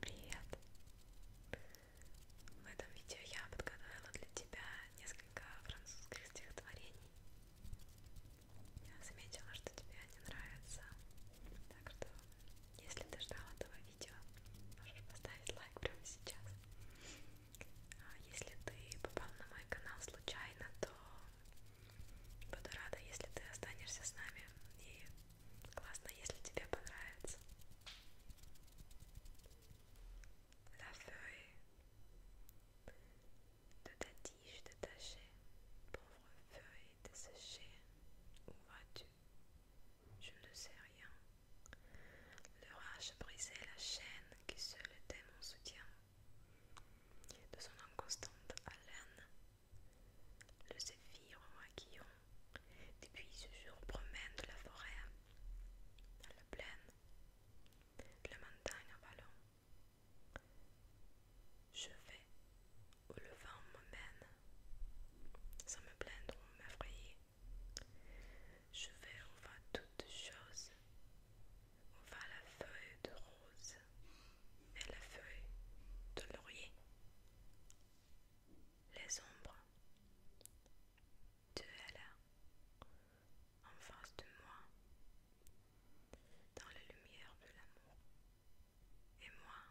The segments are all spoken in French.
Привет! В этом видео я подготовила для тебя несколько французских стихотворений. Я заметила, что тебе они нравятся. Так что, если ты ждал этого видео, можешь поставить лайк прямо сейчас. А если ты попал на мой канал случайно, то La feuille de ta tige détachée, pauvre feuille desséchée, où vas-tu? Je ne sais rien. Le rage brisait la chaîne qui seule était mon soutien. De son inconstante haleine, le zéphyr en maquillon, depuis ce jour promène de la forêt, la plaine, la montagne en ballon. Je vais où le vent me mène, sans me plaindre ou m'effrayer. Je vais où va toutes choses. où va la feuille de rose et la feuille de laurier. Les ombres, tu es là, en face de moi, dans la lumière de l'amour. Et moi,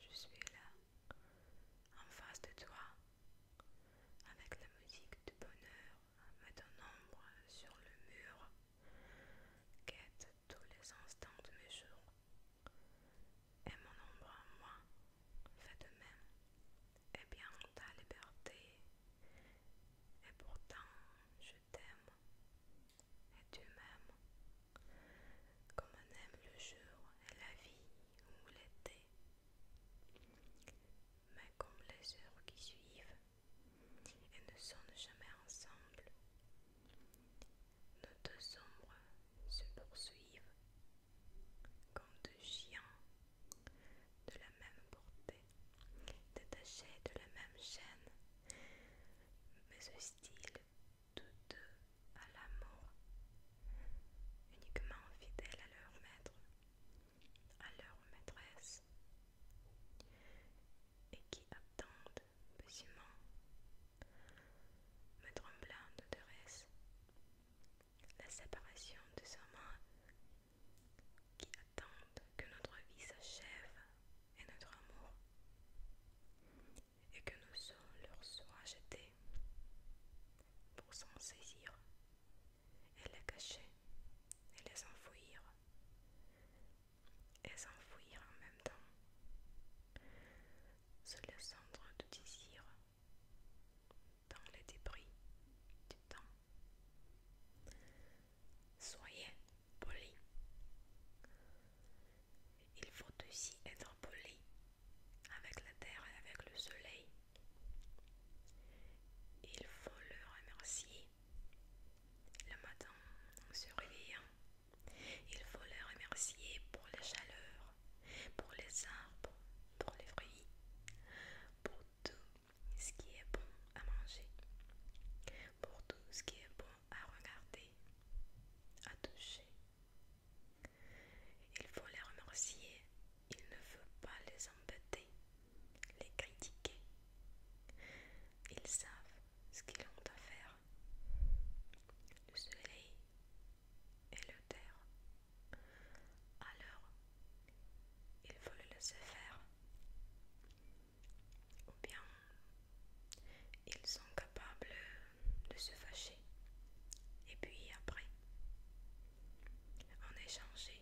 je suis là, en face de toi, avec la musique du bonheur, mettant ombre sur le mur, quête tous les instants de mes jours. Et mon ombre à moi fait de même. et bien, ta liberté. Et pourtant, je t'aime. Et tu m'aimes. Comme on aime le jour et la vie ou l'été. Mais comme les heures qui suivent et ne sont jamais ensemble, nos deux ombres se poursuivent comme deux chiens de la même portée, détachés de la même chaîne, mais hostiles tous deux à l'amour, uniquement fidèles à leur maître, à leur maîtresse et qui attendent patiemment. Me tremblante de reste la séparation de sa main qui attendent que notre vie s'achève et notre amour et que nous sommes leur soins jetés pour s'en saisir et les cacher et les enfouir et s'enfouir en même temps, se le centre de désir, dans les débris du temps. Soyez polis. Il faut aussi être poli avec la terre et avec le soleil. Il faut le remercier. Le matin, en se réveillant, il faut les remercier pour la chaleur, pour les arbres, pour les fruits, pour tout ce qui est bon à manger, pour tout ce qui est bon à regarder, à toucher. Il faut les remercier, il ne faut pas les embêter, les critiquer. Ils savent ce qu'ils ont à faire le soleil et le terre. Alors, il faut le laisser faire. Ou bien, ils sont capables de se fâcher. Et puis après, en échanger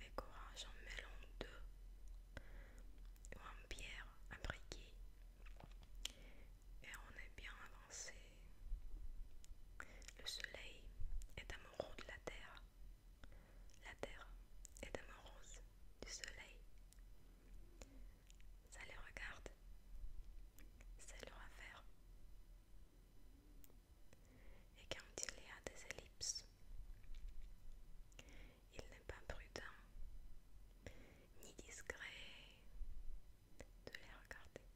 Et courage en mêlant deux ou en pierre, un Et on est bien avancé. Le soleil est amoureux de la terre. La terre est amoureuse du soleil. Ça les regarde. C'est leur affaire. Et quand il y a des ellipses, il n'est pas prudent ni discret de les regarder.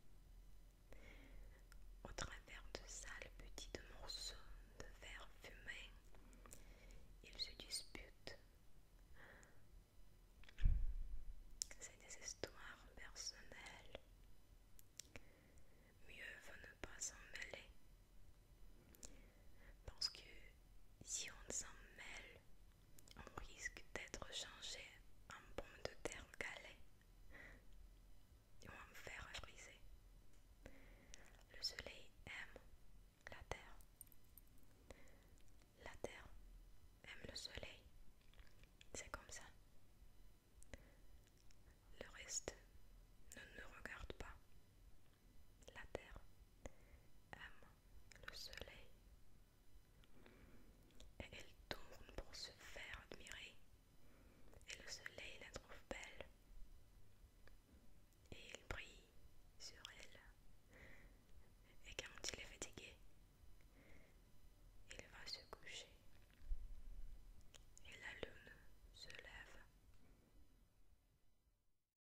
Au travers de sales petits morceaux de verre fumé, ils se disputent. C'est des histoires personnelles. Mieux vaut ne pas s'en mêler parce que si on s'en mêle, on risque d'être changé en pomme de terre galée ou en fer brisé. Le soleil aime la terre. La terre aime le soleil. C'est comme ça. Le reste ne nous regarde pas la terre aime le soleil et elle tourne pour se faire admirer et le soleil la trouve belle et il brille sur elle et quand il est fatigué il va se coucher et la lune se lève